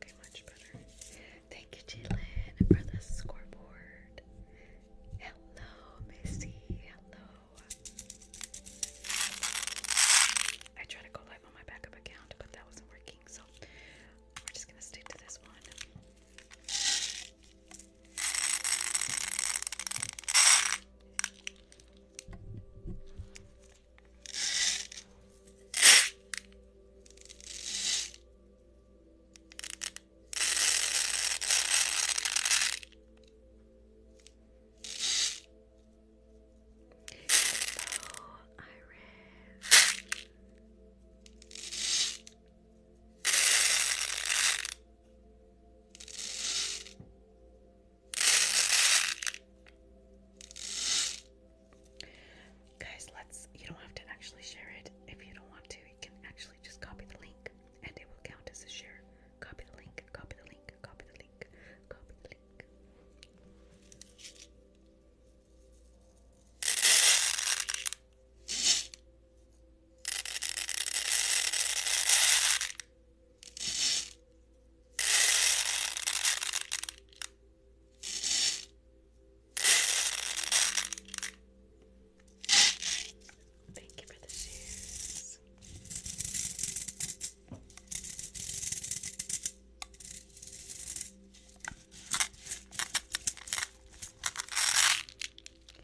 Okay, much better. Thank you, Jalen, for the scoreboard. Hello, Missy. Hello. I tried to go live on my backup account, but that wasn't working. So we're just gonna stick to this one. Hello, Iris. Guys, let's you don't have to actually share it if you don't want to. You can actually just copy the link and it will count as a share. Copy the link, copy the link, copy the link, copy the link. Thank you for the shoes.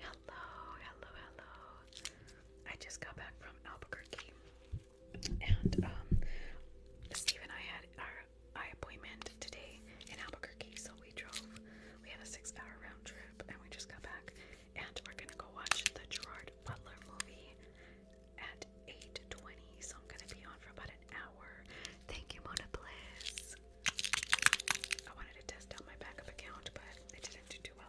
Hello, hello, hello. I just got back from Albuquerque and um, Steve and I had our eye appointment today in Albuquerque, so we drove. We had a six-hour round trip, and we just got back. And we're gonna go watch the Gerard Butler movie at 8:20. So I'm gonna be on for about an hour. Thank you, Mona Bliss. I wanted to test out my backup account, but it didn't do too well.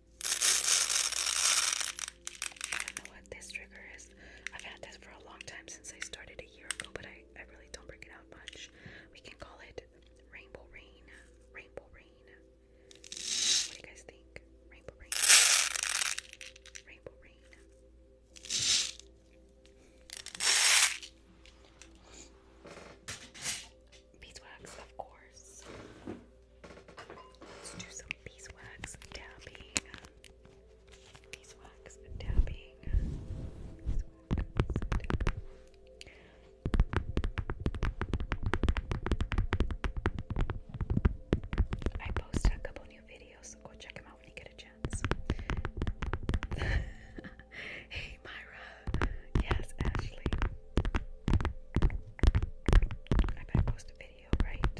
I don't know what this trigger is. I've had this for a long time since I started a year ago, but I, I really don't bring it much. We can call it Rainbow Rain. Rainbow Rain. What do you guys think? Rainbow Rain. Rainbow Rain beeswax, of course. Let's do some beeswax dabbing. Beeswax dabbing. I posted a couple new videos, so go check them out when you get a chance. hey Myra, yes, Ashley. I better post a video, right?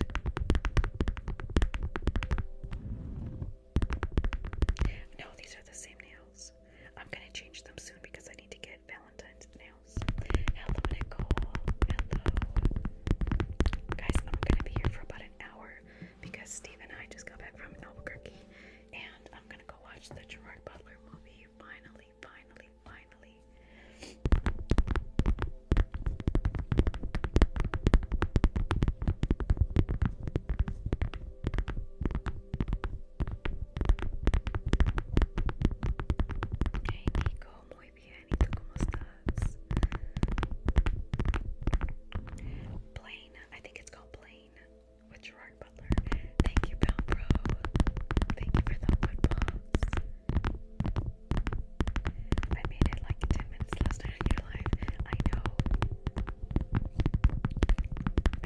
No, these are the same nails. I'm gonna change them soon because I need to get Valentine's nails. Hello, Nicole. Hello. Guys, I'm gonna be here for about an hour because Steve and I just got back from Albuquerque and I'm gonna go watch the Gerard Butler movie finally. Hey Nico, muy bien. cómo estás? Plain. I think it's called plain with Gerard Butler. Thank you, Pal Pro. Thank you for the wood bombs. I made it like 10 minutes last night on your live. I know.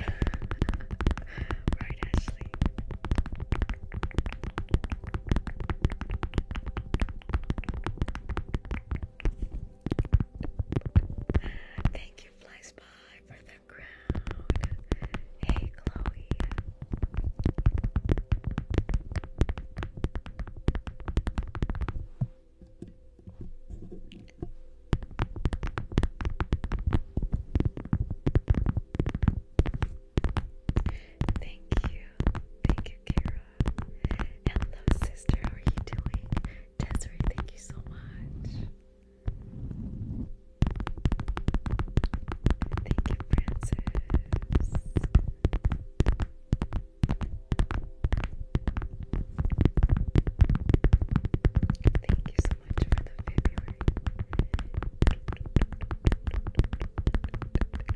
right, Ashley. Thank you, Fly Spy. Hey, Chloe. Thank you. Thank you, Kara. Hello, sister. How are you doing? Desiree, thank you so much. Thank you, Francis. Thank you so much for the February.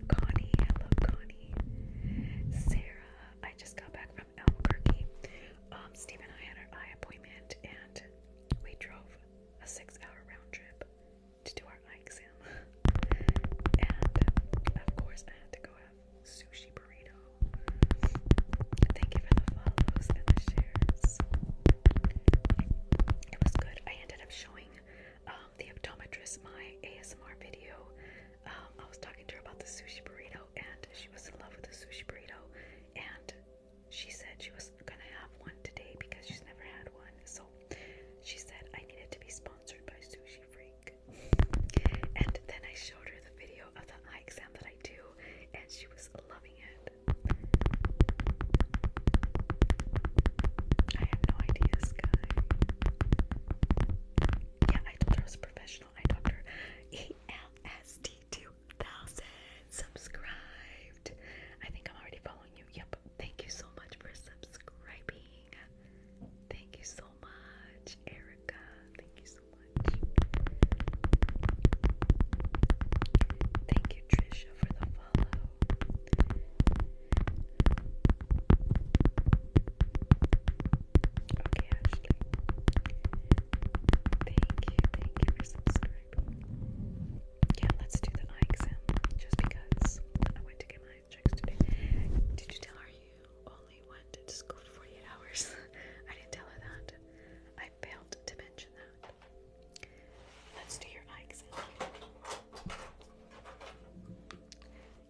Connie, hello Connie. Sarah, I just got back from Albuquerque. Um, Steve and I had our eye appointment and we drove a six hour round trip to do our eye exam. and of course, I had to go have sushi burrito. Thank you for the follows and the shares. It was good. I ended up showing um, the optometrist my ASMR video. Um, I was talking to her about the sushi burrito, and she was in love with the sushi burrito. And she said she was gonna have one today because she's never had one. So she said I needed to be sponsored by Sushi Freak. And then I showed her the video of the eye exam that I do, and she was loving it. I had no idea, Sky. Yeah, I told her I was a professional eye doctor. E L S D two thousand subscribed. I think I'm already following you. Yep. Thank you so much for subscribing. Thank you so much, Erica. Thank you so much. Thank you, Trisha, for the follow. Okay, Ashley. Thank you, thank you for subscribing yeah, let's do the eye exam just because I went to get my eye checks today. Did you tell her you only went to school for 48 hours? I didn't tell her that. I failed to mention that. Let's do your eye exam.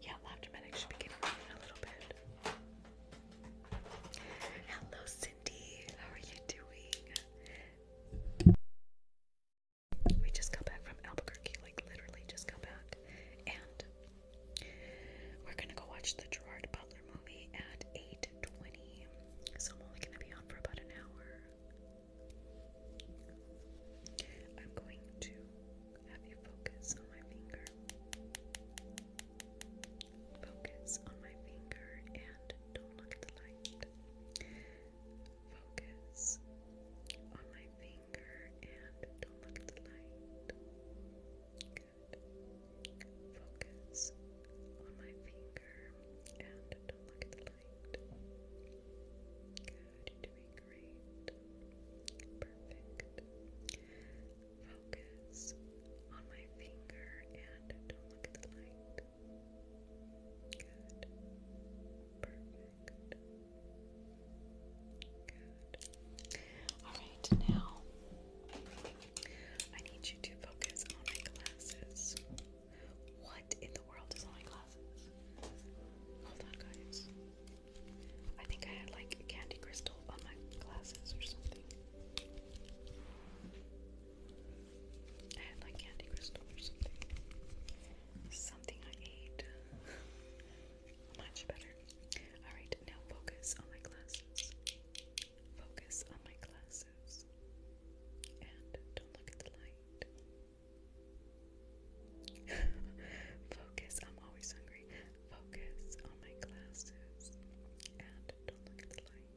Yeah, Laftermedic should be getting in a little bit. Hello, Cindy. How are you doing? We just got back from Albuquerque, like literally just got back. And we're gonna go watch the Gerard Butler movie at 8.20. So I'm only gonna be on for about an hour. I'm going to have you focus on my finger. Focus on my finger and don't look at the light. Focus on my finger and don't look at the light. Good. Focus on my finger and don't look at the light. Good. You're doing great. Perfect. Focus on my finger and don't look at the light. Perfect. Good. Alright, now I need you to focus on my glasses. What in the world is on my glasses? Hold on, guys. I think I had like candy crystal on my glasses or something. I like candy crystal or something. Something I ate. Much better. Alright, now focus on my glasses. Focus on my glasses. And don't look at the light. focus, I'm always hungry. Focus on my glasses. And don't look at the light.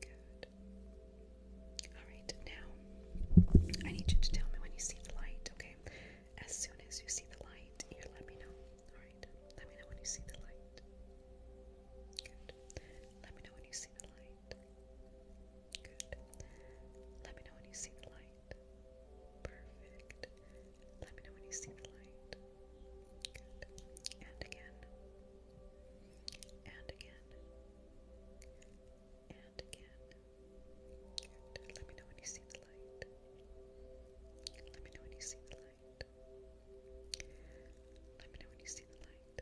Good. Alright, now I need you to tell me when you see the light, okay? As soon as you see the light, you let me know. Alright, let me know when you see the light. Good. Let me know when you see the light. Good. Let me know when you see the light. Perfect. Let me know when you see the light. Good. And again. And again and again. let me know when you see the light. Let me know when you see the light. Let me know when you see the light.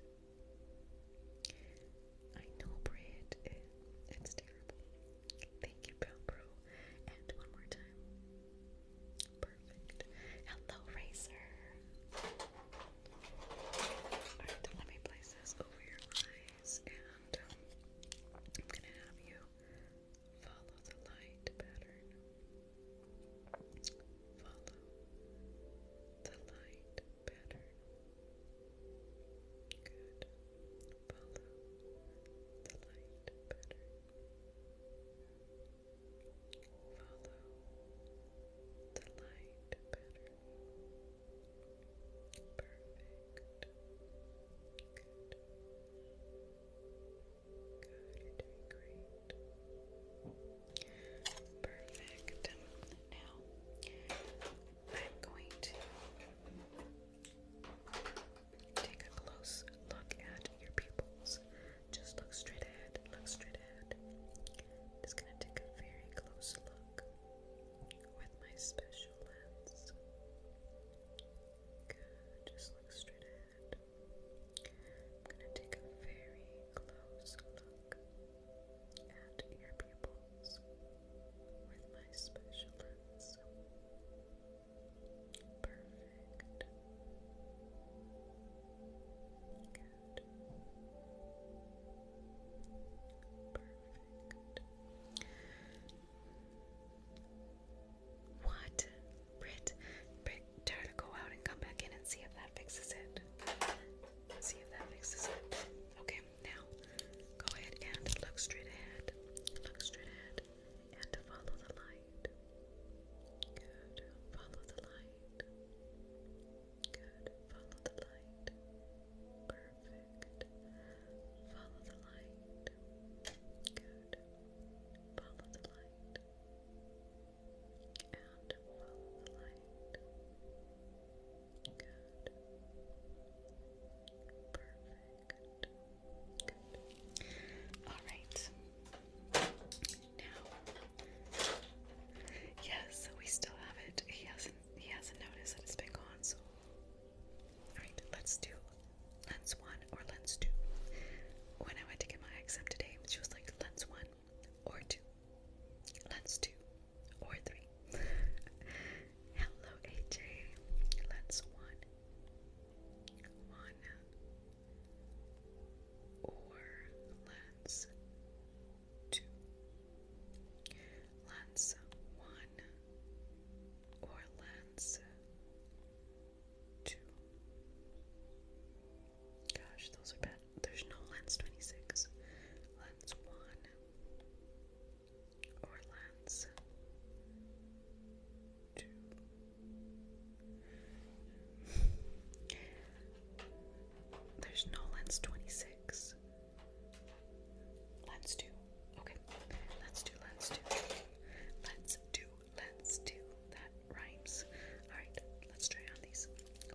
I know, Brit, it's terrible. Thank you, Brown And one more time. Perfect. Hello, Racer. Alright, let me place this over your eyes and um, I'm going to have you follow the light pattern. Follow the light pattern. Good. Follow the light pattern. Follow the light pattern. Perfect. Good. Good, you great. Perfect. Now, I'm going to take a close look at your pupils. Just look straight ahead, look straight ahead. Just gonna take a very close look with my special lens. just look straight ahead. I'm going to take a very close look at your pupils with my special lens. Perfect. What? Brit, tell her to go out and come back in and see if that fixes it. See if that fixes it. Okay, now go ahead and look straight ahead. Look straight ahead and follow the light. Follow the light. Good. Follow the light. Perfect. Follow the light. Good. Follow the light. And follow the light. Good. Perfect. Good. All right. Now, yes, we still have it. He hasn't he hasn't noticed that it's been gone, so. Alright, let's do lens one or lens two. When I went to get my exam today, she was like, lens one or two, lens two or three. Hello, AJ. Lens one, one, or lens two. Lance one or lance two. Gosh, those are bad. There's no lance 26. Lance one or lance two. There's no lens 26 lens. Lens two. Okay. Let's do lens two. Let's do lens two. That rhymes. Alright, let's try on these.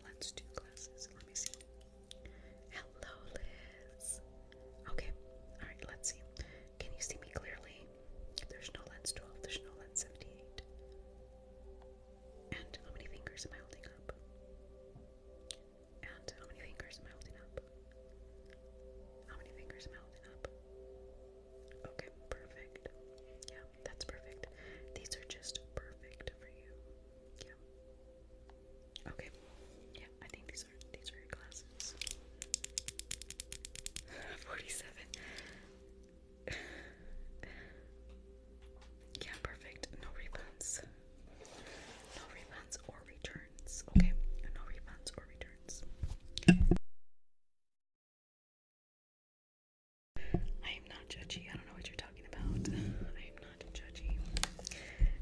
Lens two glasses. Let me see. Hello, Liz. Okay. Alright, let's see. Can you see me clearly? There's no lens 12, there's no lens 78. And how many fingers am I holding up? And how many fingers am I holding up? How many fingers am up? Okay, perfect. Yeah, that's perfect. These are just perfect for you. Yeah. Okay. Yeah, I think these are these are glasses. Forty-seven. Yeah, perfect. No refunds. No refunds or returns. Okay, no refunds or returns. I am not judgy. I don't know what you're talking about. I am not judgy.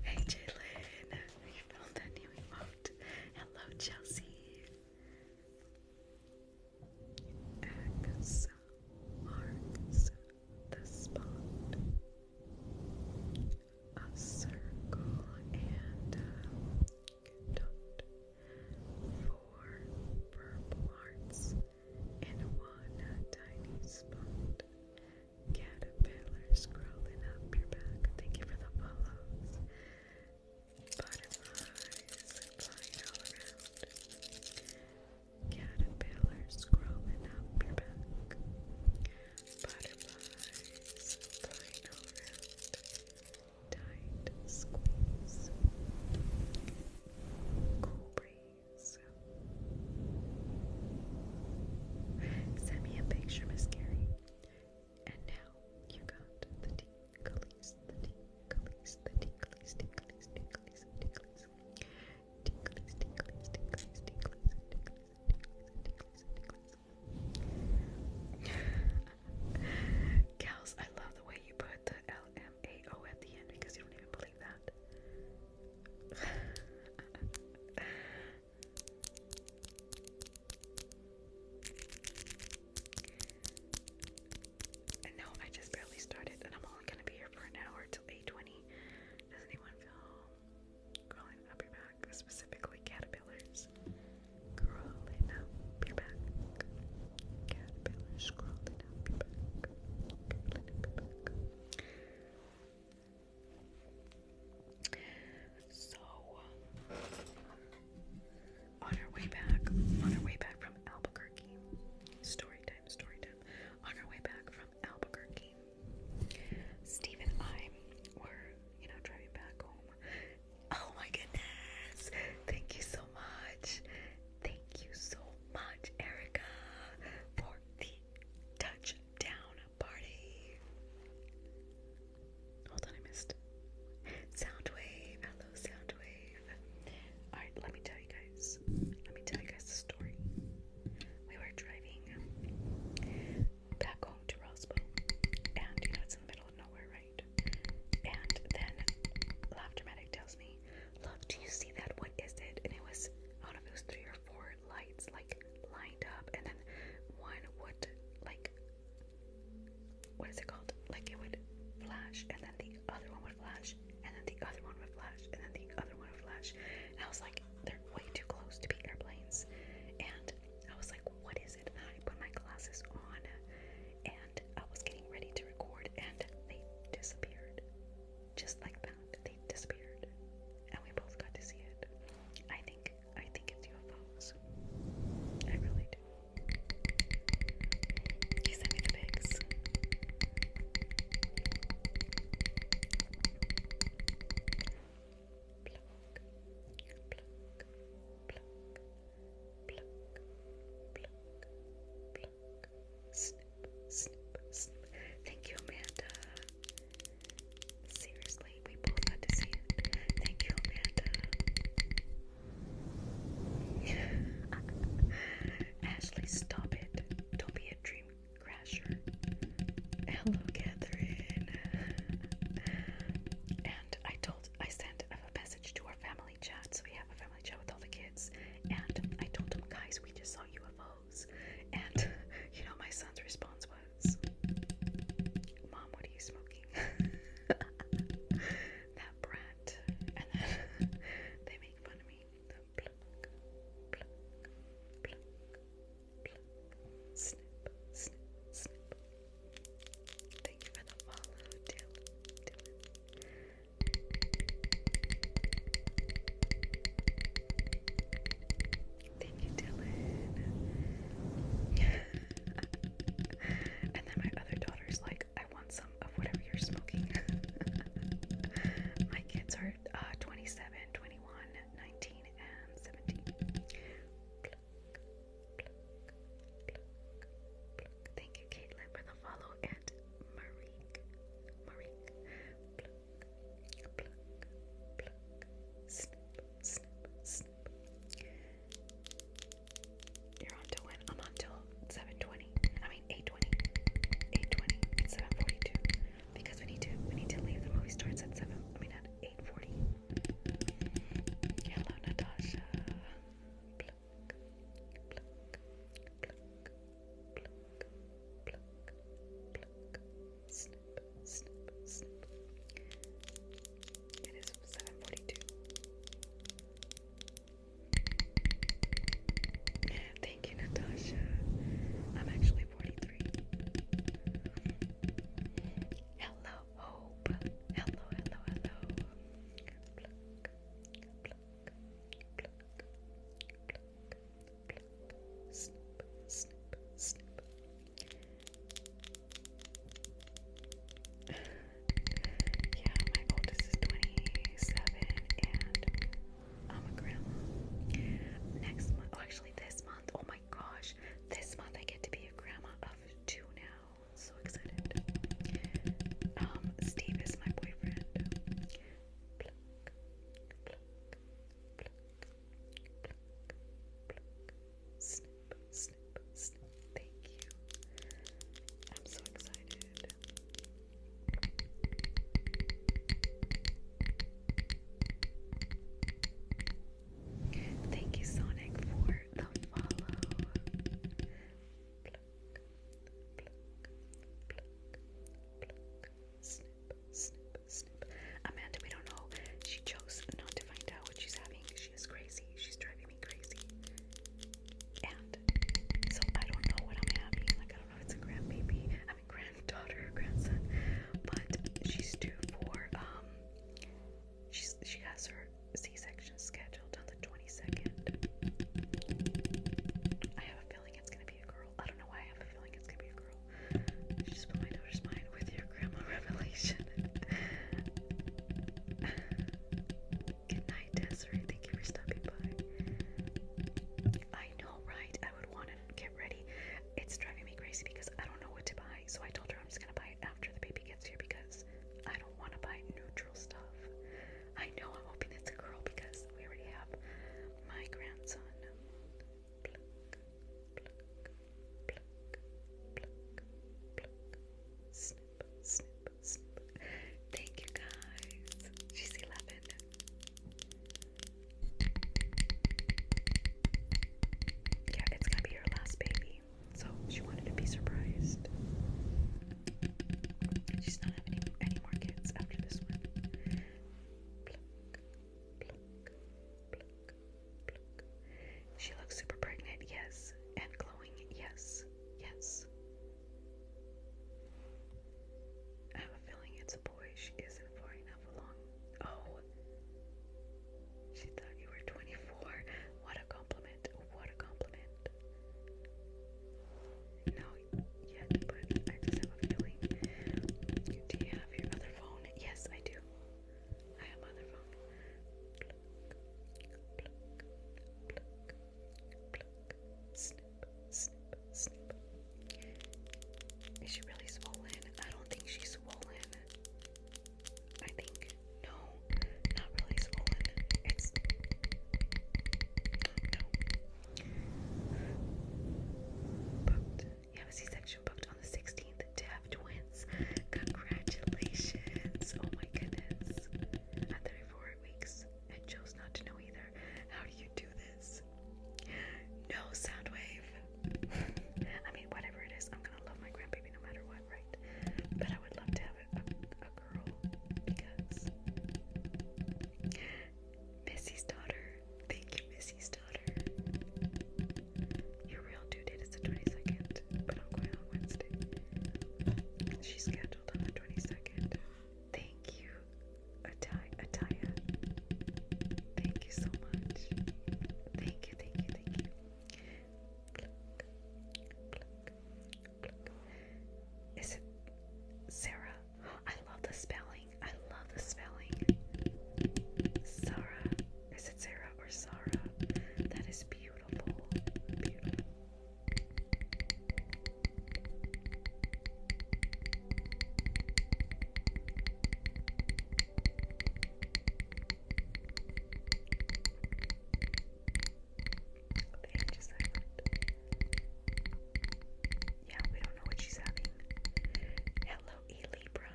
Hey, Jalen. You found that new emote. Hello, Chelsea. X marks the spot. A circle and dot. Four purple hearts in one tiny spot. Caterpillars crawling up your back. Thank you for the follows. Butterflies flying all around. Caterpillars crawling up your back. Butterflies flying around. Tight squeeze. Cool breeze. Send me a picture, Miss Carrie. And now you got the tinklies, the tinklies, the tinklies, tinklies, tinklies, tinklies. Tickles, I love the way you put the L-M-A-O at the end because you don't even believe that. no, I just barely started, and I'm only gonna be here for an hour till 8:20. Does anyone feel crawling up your back? Specifically caterpillars. Crawling up your back. Caterpillars crawling up your back. So on our way back, on our way back from Albuquerque, story time, story time. On our way back Albuquerque, Steve and I were, you know, driving back home. Oh my goodness! Thank you so much. Thank you so much, Erica, for the touchdown party. Hold on, I missed. Soundwave, hello, Soundwave. All right, let me tell guys. Let me tell you guys the story. We were driving back home to Roswell, and you know it's in the middle of nowhere, right? And then Laughter Medic tells me, "Love, do you see that? What is it?" And it was I don't three or four lights like lined up, and then one would like what is it called? Like it would flash, and then the other one would would flash, and then the other one would flash, and then the other one would flash. And I was like, they're way too close to be airplanes. And I was like, what is it? And I put my glasses on, and I was getting ready to record, and they disappeared. Just like that, they disappeared. And we both got to see it. I think, I think it's UFOs. I really do. You sent me the pics. Thank you, Amanda. Seriously, we both got to see it. Thank you, Amanda. Ashley, stop it. Don't be a dream Crasher. Hello, Catherine. and I told, I sent a message to our family chat. So we have a family chat with all the kids. And I told them, guys, we just saw UFOs. And you know, my son's response was, Mom, what are you smoking? that brat. And then they make fun of me. Thank you for the follow, Dylan. Dylan. Thank you, Dylan. and then my other daughter's like, I want some of whatever you're smoking. my kids are number uh, 27, 21, 19, and 17. Thank you, Caitlin, for the follow and Marique. Marique. You're on to when? I'm on till 720. 820. 820. It's 742. Because we need to we need to leave the movie starts at seven I mean at 840. Hello Natasha. It is 742. Thank you, Natasha. I'm actually 43. Hello, Hope. Hello, hello, hello. yeah, my oldest is 27 and I'm a grandma. Next month, actually, this month, oh my gosh, this month I get to be a grandma of two now. So excited. Um, Steve is my boyfriend. Thank you. I'm so excited. Thank you, Sonic, for the follow. Snip, snip, snip. Amanda, we don't know. She chose not to find out what she's having. She is crazy. She's driving me crazy. And so I don't know what I'm having. Like I don't know if it's a grandbaby granddaughter, grandson, but she's due for um, she's she has her C-section scheduled on the twenty second. I have a feeling it's gonna be a girl. I don't know why I have a feeling it's gonna be a girl. just put my daughter's mind with your grandma revelation. Good night, Desiree. Thank you for stopping by. I know, right? I would want to get ready. It's driving me crazy because I don't know what to buy. So I told her I'm just going to buy it after the baby gets here because I don't want to buy neutral stuff. I know I'm hoping it's a girl because we already have my grandson. Pluck, pluck, pluck, pluck, pluck. Snip, snip, snip. Thank you guys. She's 11. Yeah, it's gonna be her last baby. So she wanted to be surprised. She's not having any, more kids after this one. She looks super pregnant, yes. And glowing, yes. Yes. I have a feeling it's a boy. She isn't far enough along. Oh, she thought you were 24. What a compliment. What a compliment. No, yet, but I have a feeling. Do you have your other phone? Yes, I do. I have my phone. Is she really swollen? I don't think she's swollen. I think no, not really swollen. It's no. Booked. You have a C-section booked on the 16th to have twins. Congratulations! Oh my goodness. At 34 weeks, I chose not to know either. How do you do this? No, Soundwave. I mean, whatever it is, I'm gonna love my grandbaby no matter what, right? But I would love to have a girl because Missy's daughter. Thank you, Missy's daughter. Your real due date is the 22nd, but I'm going on Wednesday. She's scheduled on the 22nd. Thank you, Ataya. Thank you so much. Thank you, thank you, thank you. Is it Sarah? I love the spelling. I love the spelling. Sarah. Is it Sarah or Sarah? That is beautiful. Beautiful. The edge is Yeah, we don't know what she's having. Hello, E Libra.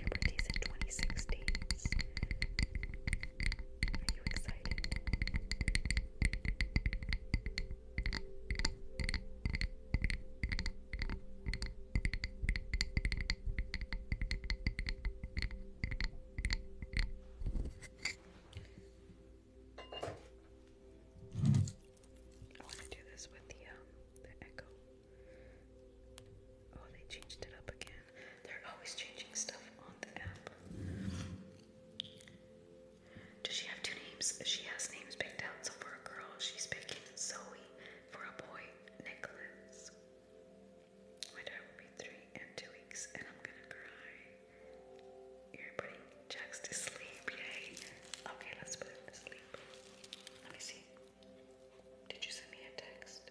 Your birthday's in 26 days. Are you excited? I want to do this with the um, the echo. Oh, they changed it up again. They're always changing stuff on the app. Does she have two names? She has names picked out. So for a girl, she's picking Zoe. For a boy, Nicholas. My daughter will be three in two weeks, and I'm gonna cry. You're to sleep, yay! Okay, let's put him to sleep. Let me see. Did you send me a text?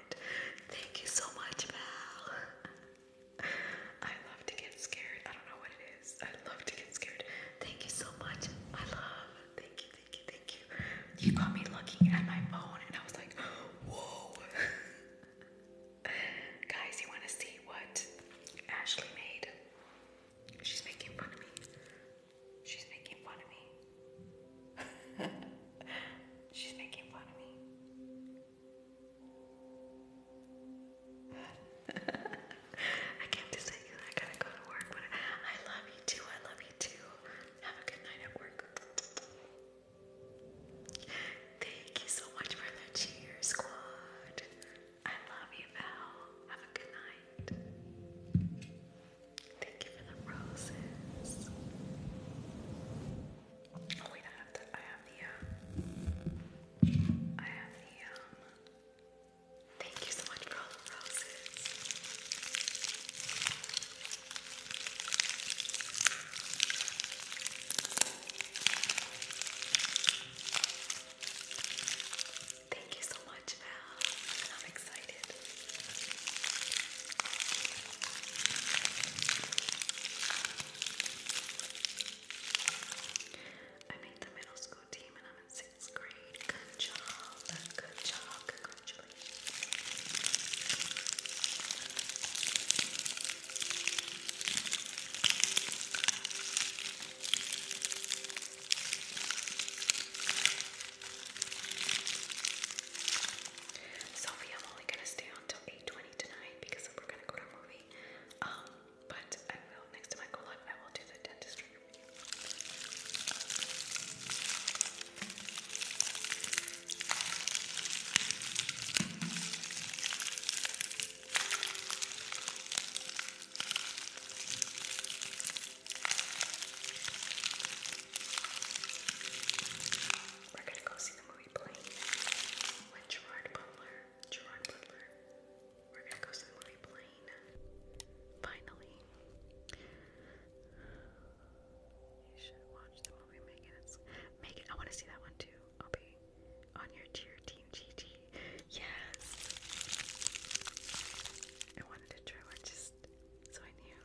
Thank you so much, Val. I love to get scared. I don't know what it is. I love to get scared. Thank you so much. I love. Thank you, thank you, thank you. You got me looking at my phone and I was like, whoa. Guys, you want to see what Ashley made? She's making fun of me. She's making fun of me. She's making fun of me. I can't just say I gotta go to work, but I love you too. I love you too. Have a good night at work. Thank you so much for the cheer squad. I love you, Val. Have a good night. Thank you for the roses. Oh wait, I have the I have the um I have the um Thank you so much for all the roses. Thank you so much, Val excited. I made the middle school team and I'm in sixth grade. Good job. Good job. Congratulations. Sophie, I'm only gonna stay on 8.20 tonight because we're gonna go to a movie. Um, but I will, next time I go I will do the dentistry. We're gonna go see the movie Plane with Gerard Butler. Gerard Butler. We're gonna go see the movie Plane. Finally. You should watch the movie Megan. Megan. I wanna see that one too. I'll be on your tier team GG. Yes. I wanted to try one just so I knew.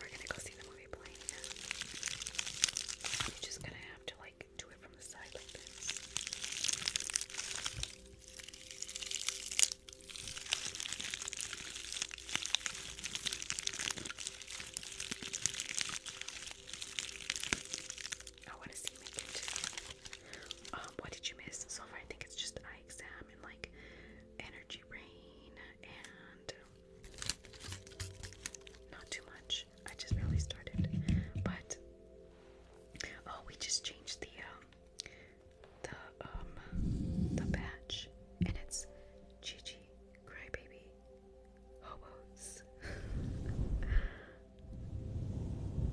We're gonna go see the movie Plane. I'm just gonna have to like do it from the side I want to see makeup um, what did you miss? So far, I think it's just eye exam and like energy rain and not too much. I just barely started. But oh we just changed the um the um the batch and it's Gigi Crybaby Hobos.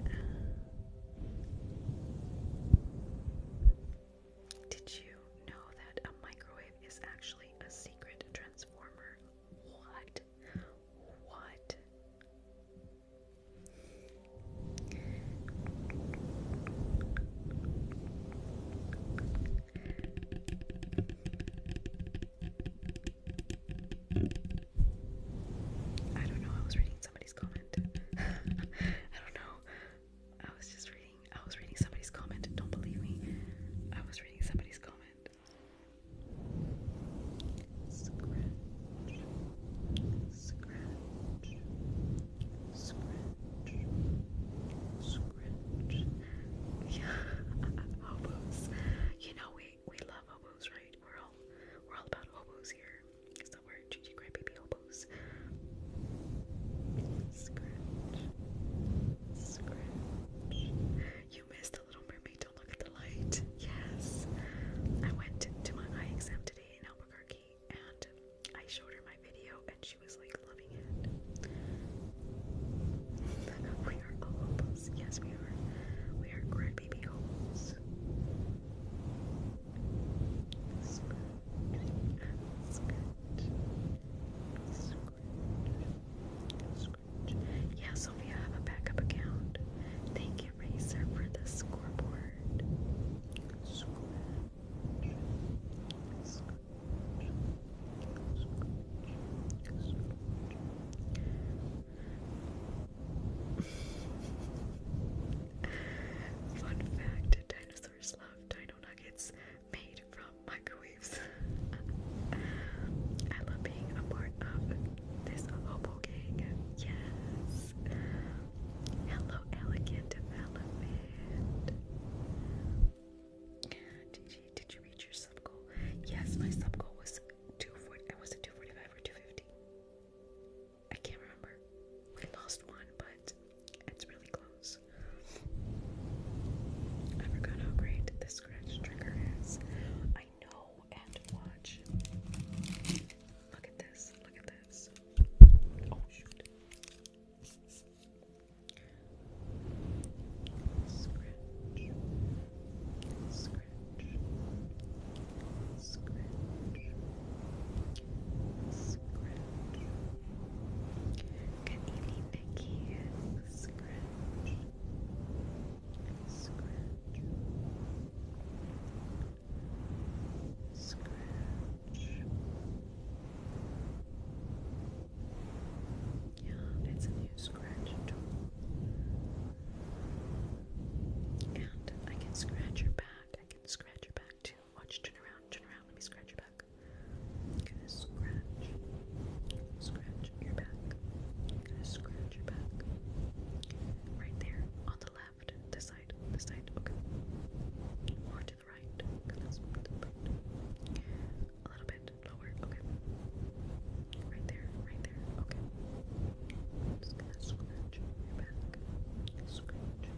Uh, did you know that a microwave is actually a secret transformer? What? What? I don't know. I was reading somebody's comment. I don't know. I was just reading. I was reading somebody's comment. Don't believe me. I was reading somebody's comment. Yeah, hobos. You know we we love hobos, right? We're all we're all about hobos here is the word Gigi Crybaby You missed a Little Mermaid, don't look at the light. Yes. I went to my eye exam today in Albuquerque and I showed her my video and she was like loving it. we are hobos. Yes, we are. We are Grandbaby hobos. Yeah, Sophia, I have a backup account. Thank you, Racer, for the scoreboard. Fun fact dinosaurs love dino nuggets made from microwaves. I love being a part of this hobo gang. Yes. Hello, elegant development. Gigi, did you reach your sub goal? Yes, my sub goal was 240. I was at 245 or 250. I can't remember. I lost one, but it's really close. I forgot how great this scratch trigger is. I know and watch. Look at this. Look at this. Oh shoot. Scratch. Scratch scratch, scratch. Good evening, Vicky. Scratch, scratch, scratch. Yeah, it's a new scratch tool. And I can scratch your back. I can scratch your back too. Watch, oh, turn around, turn around. Let me scratch your back. gonna scratch, scratch your back. gonna scratch your back. Right there, on the left, this side, this side, okay. Or to the right, because that's the right. A little bit lower, okay. Right there, right there, okay. just gonna scratch your back. Scratch,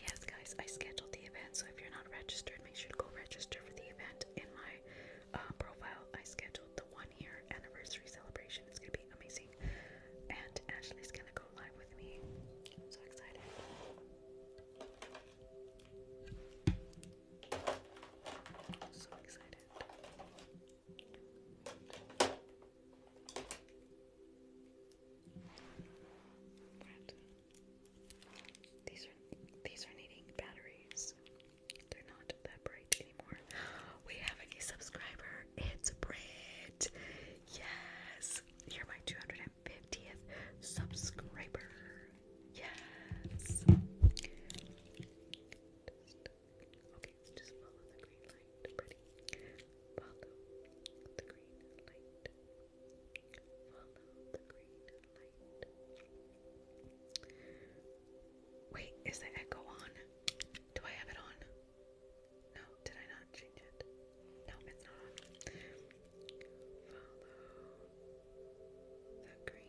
Yes, guys, I scheduled the event, so if you're not registered, make sure to go register for the event. In my uh, profile, I scheduled the one year anniversary celebration. It's gonna be amazing. And Ashley's gonna go live with me. so excited. So excited these are these are needing batteries. They're not that bright anymore. We have a new subscriber. It's Brit. Yes, you're my 250th subscriber. Yes lights. Just follow the green light. Pretty. Follow the green light. Follow the green light. Wait, is the echo on? Do I have it on? No, did I not change it? No, it's not on. Follow the green light.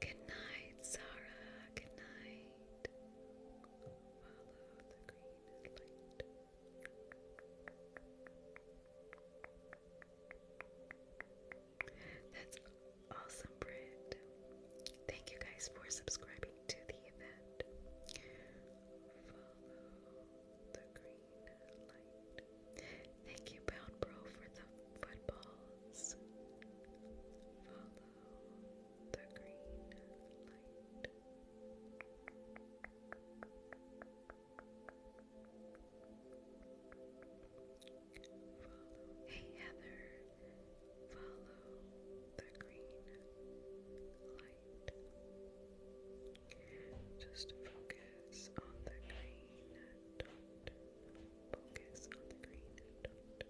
Good night, Sarah. Good night. That's awesome, Britt. Thank you guys for subscribing to the event. Thank you, Bound Bro, for the footballs. Follow the green light. Hey, Heather. Follow the green light. Just focus on the green dot. Focus on the green dot.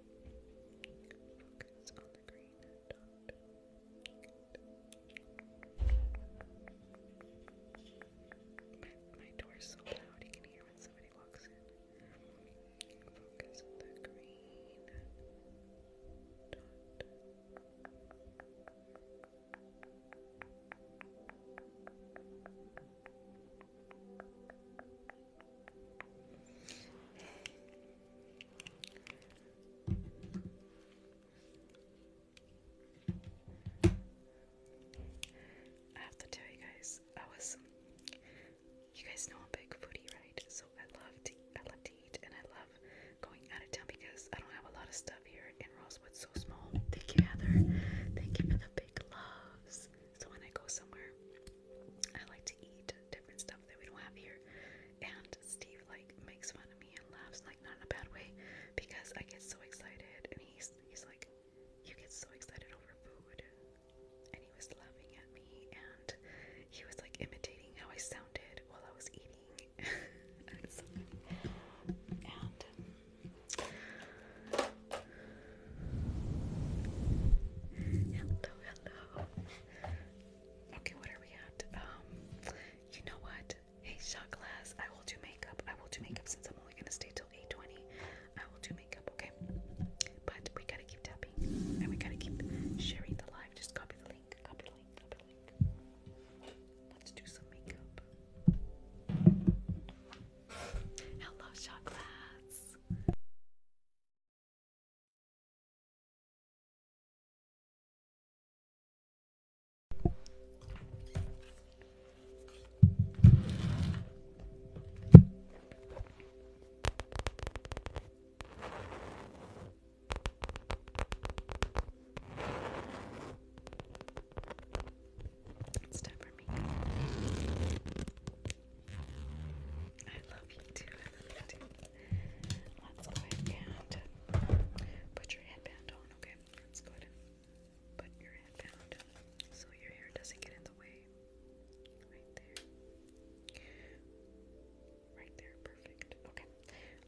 Focus on the green dot. My, door's so loud you can hear when somebody walks in. Focus on the green dot. I have to tell you guys, I was you guys know I'm big foodie, right? So I love to I love to and I love going out of town because I don't have a lot of stuff here in Rosewood, so small. Thank you, Heather. Thank you for the big loves. So when I go somewhere, I like to eat different stuff that we don't have here. And Steve like makes fun of me and laughs, like not in a bad way, because I get so excited, and he's he's like, you get so excited over food, and he was laughing at me, and he was like imitating how I sounded while I was eating, Um, hello, hello. Okay, what are we at? Um, you know what? Hey, shot glass. I will do makeup. I will do makeup since I'm only gonna stay till 8:20. I will do makeup, okay? But we gotta keep tapping, and we gotta keep sharing the live. Just copy the Let's do some makeup. Hello, shot glass. It's time for me. I love you too. Let's go ahead and put your headband on, okay? Let's go ahead and put your headband so your hair doesn't get in the way. Right there. Right there, perfect. Okay,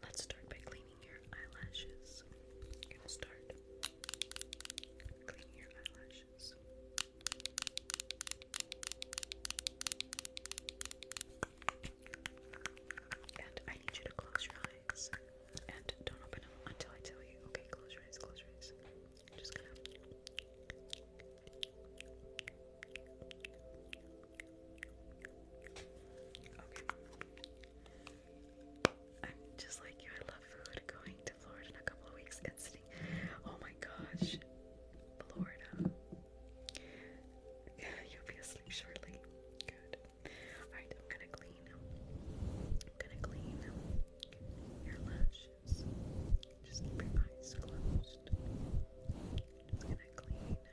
let's start by cleaning your eyelashes. gonna start cleaning your eyelashes. And I need you to close your eyes and don't open them until I tell you. Okay, close your eyes, close your eyes. I'm just gonna just like you. I love food. Going to Florida in a couple of weeks and sitting. Oh my gosh, Florida. You'll be asleep shortly. Good. All right. I'm gonna clean. I'm gonna clean your lashes. Just keep your eyes closed. Just gonna clean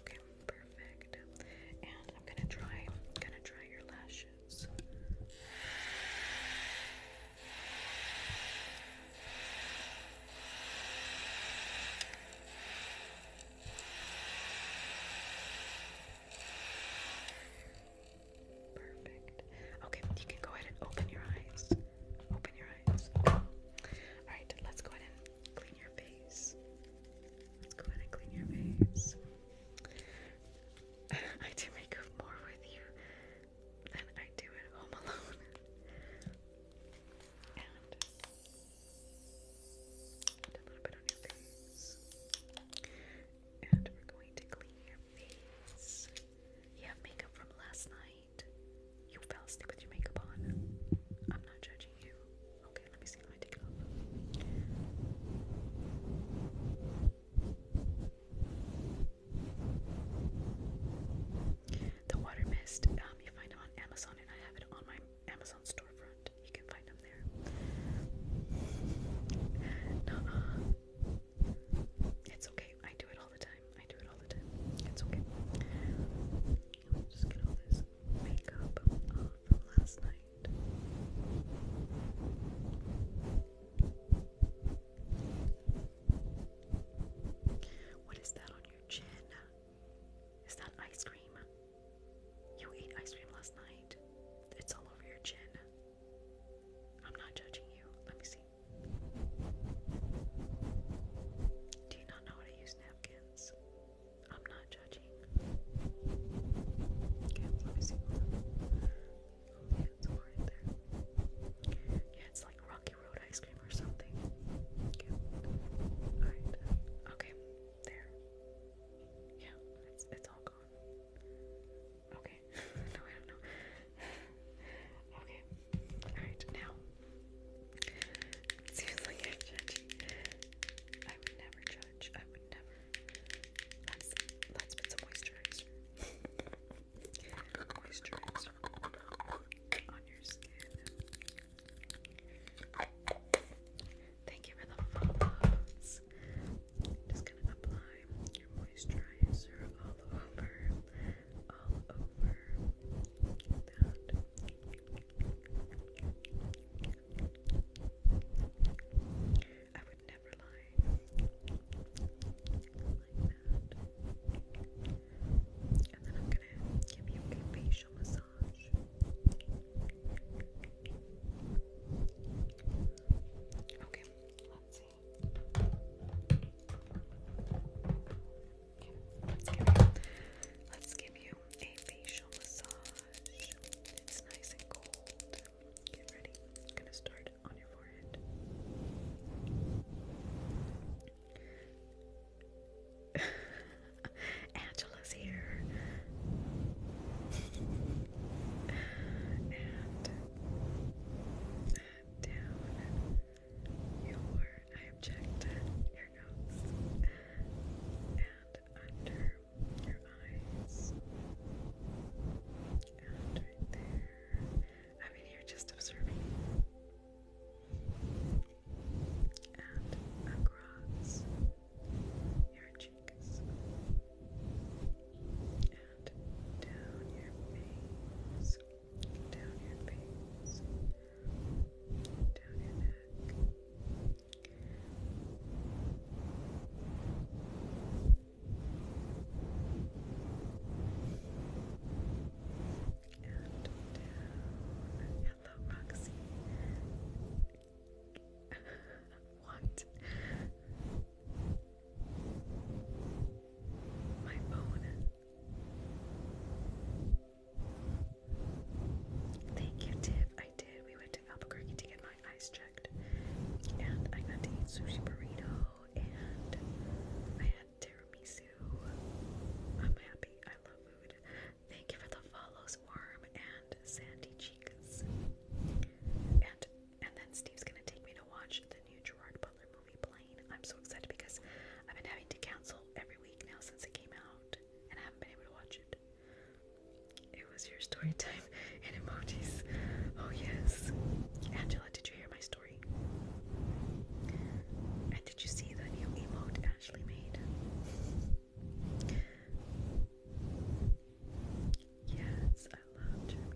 Okay, perfect. And I'm gonna try, gonna try your lashes. Perfect. Okay, you can go ahead and open your eyes. Open your eyes. Alright, let's go ahead and clean your face. Let's go ahead and clean your face. I do makeup more with you than I do at home alone. And a little bit on your face. And we're going to clean your face. You have makeup from last night. You fell asleep with your makeup on. I'm not judging you. Okay, let me see how I take it off. The water mist, um, you find them on Amazon, and I have it on my Amazon storefront. You can find them there. nuh it's okay. I do it all the time. I do it all the time. It's okay. just get all this makeup off from last night. What is that on your chin? Is that ice cream? You ate ice cream last night. It's all over your chin. I'm not judging you. Let me see. Do you not know how to use napkins? I'm not judging. Oh, yeah, it's like Rocky Road ice cream or something. Okay, there. Yeah, it's, it's all gone. Okay. no, I don't know. okay. Alright, now. Seems I would never judge. I would never. Let's, put some moisturizer. on your skin. Thank you for the follows. Just gonna apply your moisturizer all over all over that. I would never lie like that. And then I'm gonna give you a facial massage. Okay, let's see. Let's give you, a facial massage. It's nice and cold. Get ready. I'm gonna start on your forehead. Angela's here. and down your abject, your nose, and under your eyes, and there. I mean, you're just observing, and across your cheeks, and down your face down your face, down your neck. And down. Hello, Roxy. what? My phone Thank you, Tiff. I did. We went to Albuquerque to get my eyes checked. And I got to eat sushi burrito and I had tiramisu. I'm happy. I love food. Thank you for the follows, Worm and Sandy Chicas. And and then Steve's gonna take me to watch the new Gerard Butler I'm so excited because I've been having to cancel every week now since it came out, and I haven't been able to watch it. It was your story time and emojis. Oh, yes. Angela, did you hear my story? And did you see the new emote Ashley made? Yes, I love your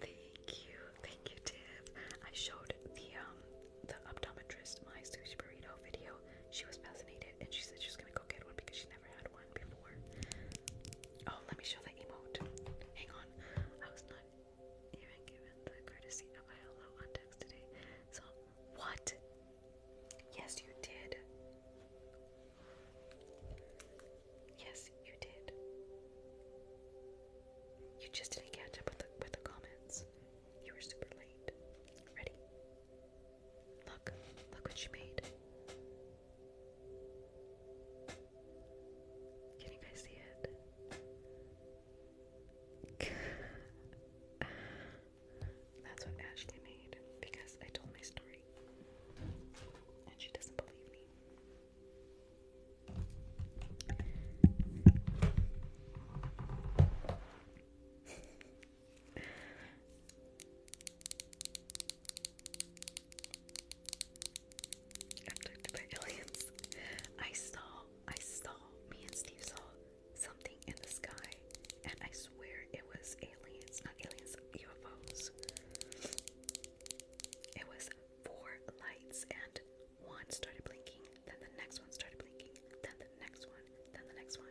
Thank you, thank you, Tiff. I showed the um the optometrist my sushi burrito video. She was fascinated, and she said she's gonna go get one because she never had one before. Oh, let me show the emote. Hang on, I was not even given the courtesy of a hello on text today. So, what? Yes, you did. Yes, you did. You just didn't catch up with the with the comments. You were super late. Ready? Look, look what she made. Can you guys see it? That's what Ashley made because I told my story. And she doesn't believe me. I'm by aliens. I saw I saw, me and Steve saw something in the sky, and I swear it was aliens, not aliens, UFOs. It was four lights, and one started blinking, then the next one started blinking, then the next one, then the next one,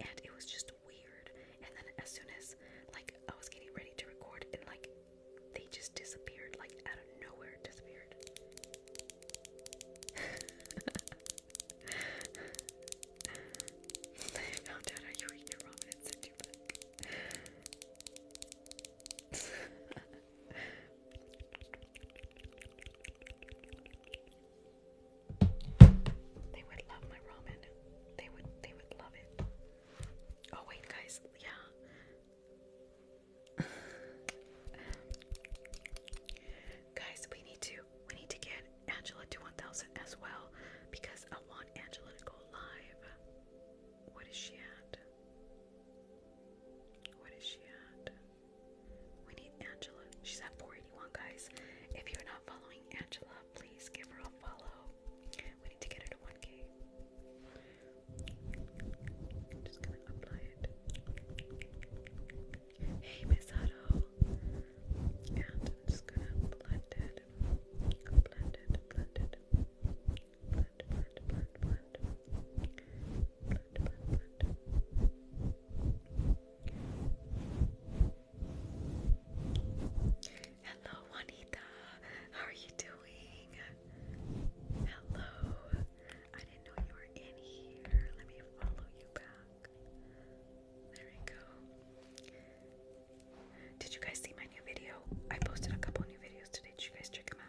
and it was just weird. And then as soon as like I was getting ready to record, and like they just disappeared, like out of nowhere disappeared. I found out how you your ramen and sent they would love my ramen. They would they would love it. Oh wait guys, yeah. Guys, we need to we need to get Angela to 1000 as well because I want Angela to go live. What is she at? What is she at? We need Angela. She's at 481, guys. If you're not following Angela, please give her a follow. We need to get her to one K apply it. Hey, And I'm just gonna blend it. Blend it, blend it. Blend, blend, blend, blend. Blend, blend, blend. Hello, Juanita! How are you doing? Hello. I didn't know you were in here. Let me follow you back. There we go. Did you guys see my new video? I posted a couple new videos today. Did you guys check them out?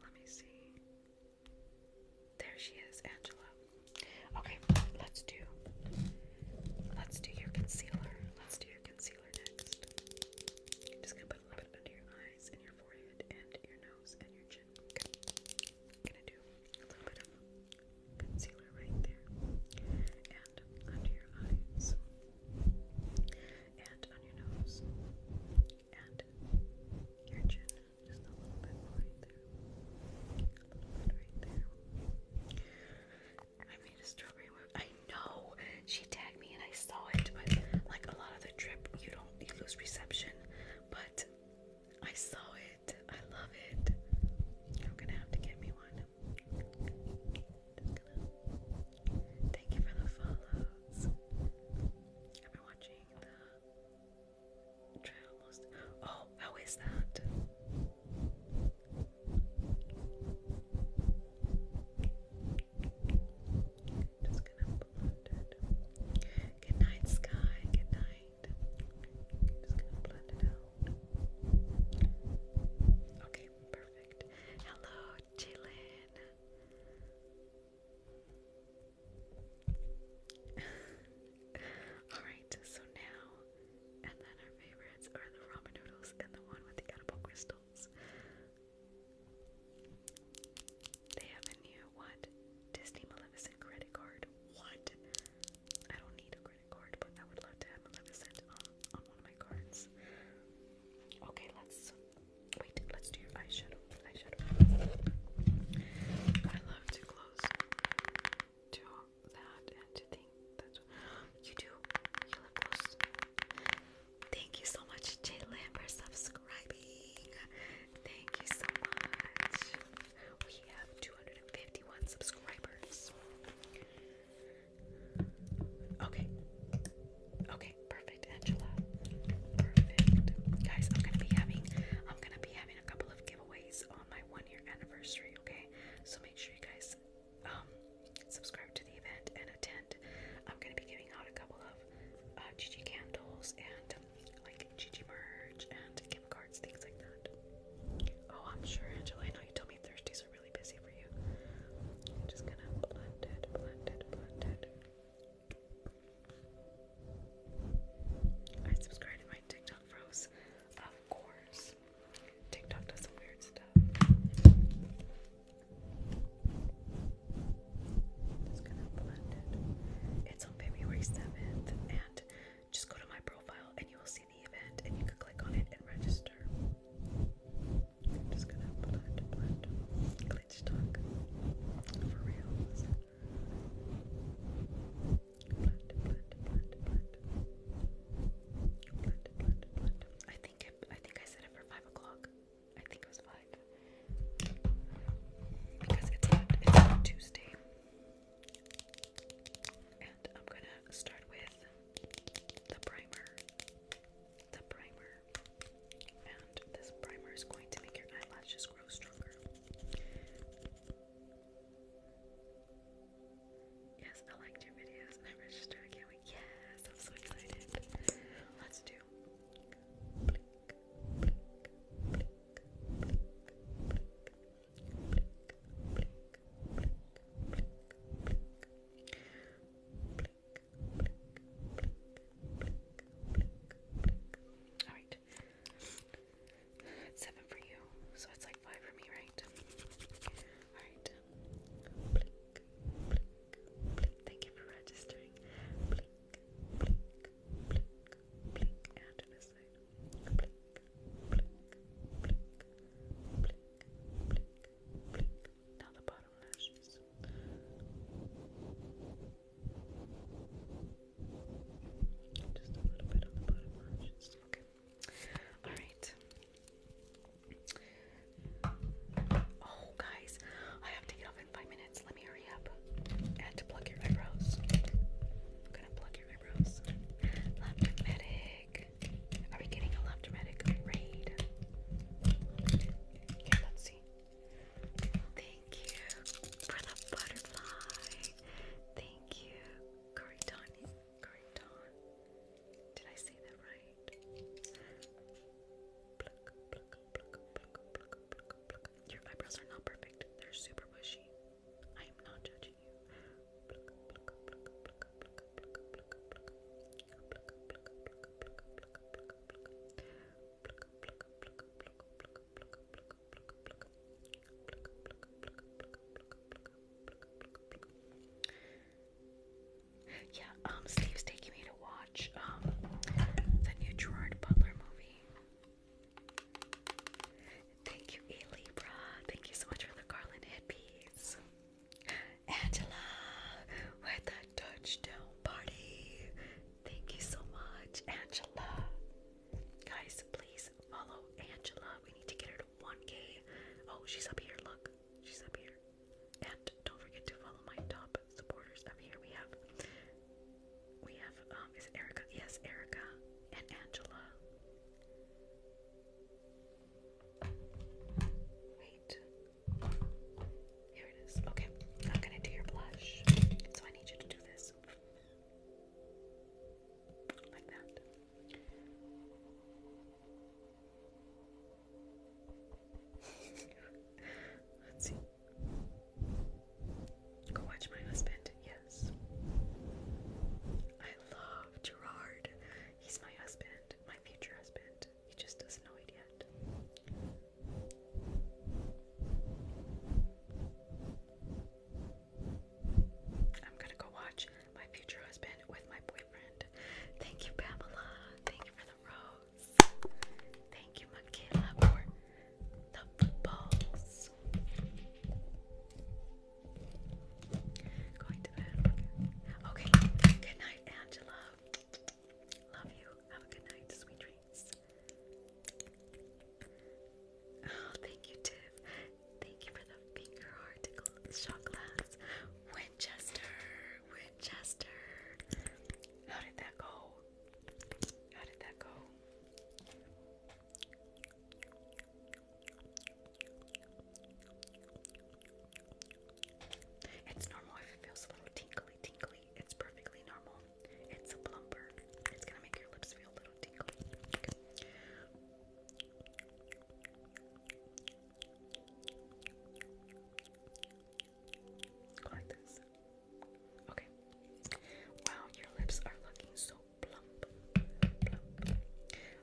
Let me see. There she is, Angela. Okay, let's do let's do your concealer. Let's do your concealer next. I'm just gonna put a little bit under your eyes and your forehead and your nose and your chin. gonna do a little bit of concealer right there and under your eyes and on your nose and your chin. Just a little bit right there. A little bit right there. I made a strawberry I know she tagged me and I saw it, but like a lot of the trip, you don't lose reception. But I saw it. I love it. I'm gonna have to get me one thank you for the follows. I've been watching the trail Oh, how is that? Just gonna blend it. Good night, Sky. Good night. Just gonna blend it Okay, perfect. Hello, Dylan. Alright, so now, and then our favorites are the ramen noodles and the one with the edible crystals. They have a new, what? Disney Maleficent credit card. What? I don't need a credit card, but I would love to have Maleficent on, on one of my cards. Okay, let's wait. Let's do your eyeshadow. I love to close to that and to think that you do. You love close. Thank you so much, Jalen, for subscribing. Thank you so much. We have 251 subscribers. Okay. Okay, perfect, Angela. Perfect. Guys, I'm gonna be having I'm gonna be having a couple of giveaways on my one year anniversary, okay? So make sure you guys um, subscribe to the event and attend. I'm gonna be giving out a couple of uh candles and like Gigi merch and gift cards, things like that. Oh, I'm sure Angela, I know you told me Thursday these are really busy for you. just gonna blend it, blend it, blend it. I subscribe to my TikTok bros, of course. TikTok does some weird stuff. Just gonna blend it. It's on February 7th, and just go to my profile and you will see the event, and you can click on it and register. I'm just gonna blend, blend, glitch talk for reals. Blend, blend, blend, blend, blend, blend, blend. I think it, I think I said it for five o'clock. I think it was five because it's Tuesday. And I'm gonna start with the primer. The primer. And this primer is going to make your eyelashes grow stronger. Yes, I liked your videos and I registered. I Yes, I'm so excited. Let's do all right. seven for you, so it's like five for me, right? All right. Blink, blink, blink. Thank you for registering. Blink, blink, blink, blink, blink, blink, blink. Now the bottom lashes. Just a little bit on the bottom lashes. Okay. Alright. Oh, guys, I have to get off in five minutes. Let me hurry up. and pluck your eyebrows. I'm gonna pluck your eyebrows. Love dramatic. Are we getting a love dramatic raid? let's see. Thank you for the butterfly. Thank you, Coriton. Coriton. Did I say that right? Your eyebrows are not perfect. They're super bushy. I am not judging you. Yeah, um, Steve's taking me to watch um the new Gerard Butler movie. Thank you, E. Libra. Thank you so much for the garland headpiece. Angela with the touchdown party. Thank you so much, Angela. Guys, please follow Angela. We need to get her to 1K. Oh, she's up here. Look, she's up here. And don't forget to follow my top supporters up here. We have, we have, um, is Erica? Yes, Erica and Angela. Wait, here it is. Okay, I'm gonna do your blush. So I need you to do this. Like that. Let's see. Go watch my husband. Yes. I love Gerard. He's my husband, my future husband. He just doesn't know it yet. I'm gonna go watch my future husband with my boyfriend. Thank you, Pamela. Thank you for the rose. Thank you, Michaela, for the footballs. Going to bed. Okay. Good night, Angela. Love you. Have a good night. Sweet dreams. Oh, thank you, Tiff. Thank you for the finger heart shot glass. Winchester, Winchester. How did that go? How did that go? It's normal if it a little tingly, tingly. It's perfectly normal. It's a plumper. It's gonna make your lips feel a little tingly. like this. Okay. Wow, your lips are looking so plump. Plump.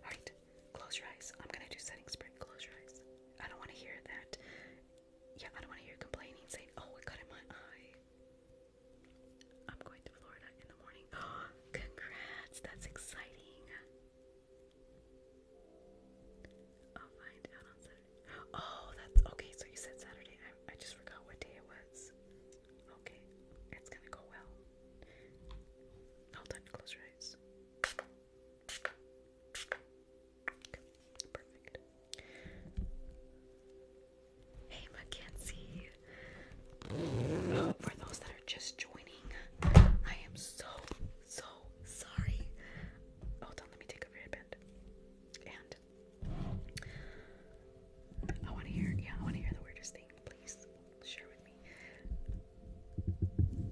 Alright, close your eyes. I'm gonna do setting spray. Close your eyes. I don't want to hear that. Yeah, I don't want to hear complaining saying, oh, it got in my eye. I'm going to Florida in the morning. congrats, that's exciting. I'll find out on Saturday. Oh, that's okay. So you said Saturday. I, just forgot what day it was. Okay, it's gonna go well. Hold on, close your eyes. Hey, Mackenzie. for those that are just joining, I am so, so sorry. Hold on, let me take off your And I want to hear, yeah, I want to hear the weirdest thing. Please share with me.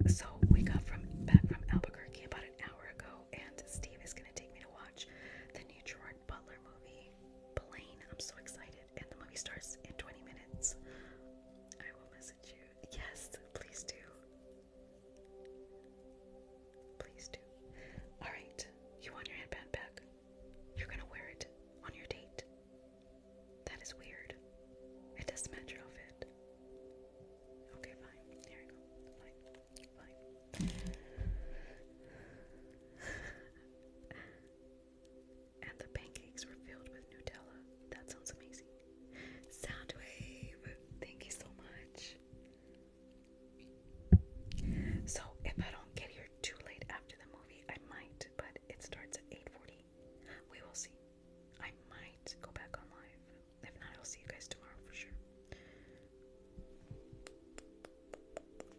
So we got from back from Albuquerque about an hour ago, and Steve is gonna take me to watch the new Butler movie, Plane. I'm so excited, and the movie starts in 20 minutes. I will message you. Yes, please do. Please do. All right, you want your headband back? You're gonna wear it on your date. That is weird. It doesn't match your outfit. Okay, fine. There we go. Fine. Fine. and the pancakes were filled with Nutella. That sounds amazing. Soundwave, thank you so much. So if I don't get here too late after the movie, I might, but it starts at 8:40. We will see. I might go back on live. If not, I'll see you guys tomorrow for sure.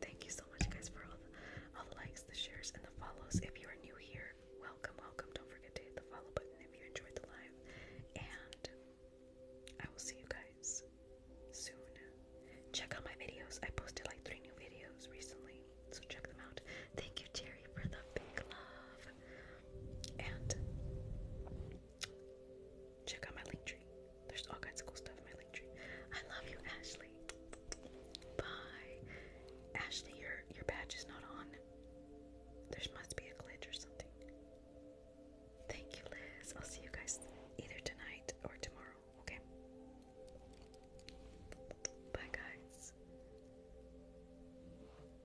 Thank you so much, guys, for all the, all the likes, the shares, and the follows. If you are new here, welcome, welcome. Don't forget to hit the follow button if you enjoyed the live. And I will see you guys soon. Check out my videos. I posted like three new videos recently, so check them out. Thank you, Jerry, for the big love and check out my link tree. There's all kinds of cool stuff in my link tree. I love you, Ashley. Bye, Ashley. Your your badge is not on. There must be a glitch or something. Thank you, Liz. I'll see you guys either tonight or tomorrow. Okay. Bye, guys.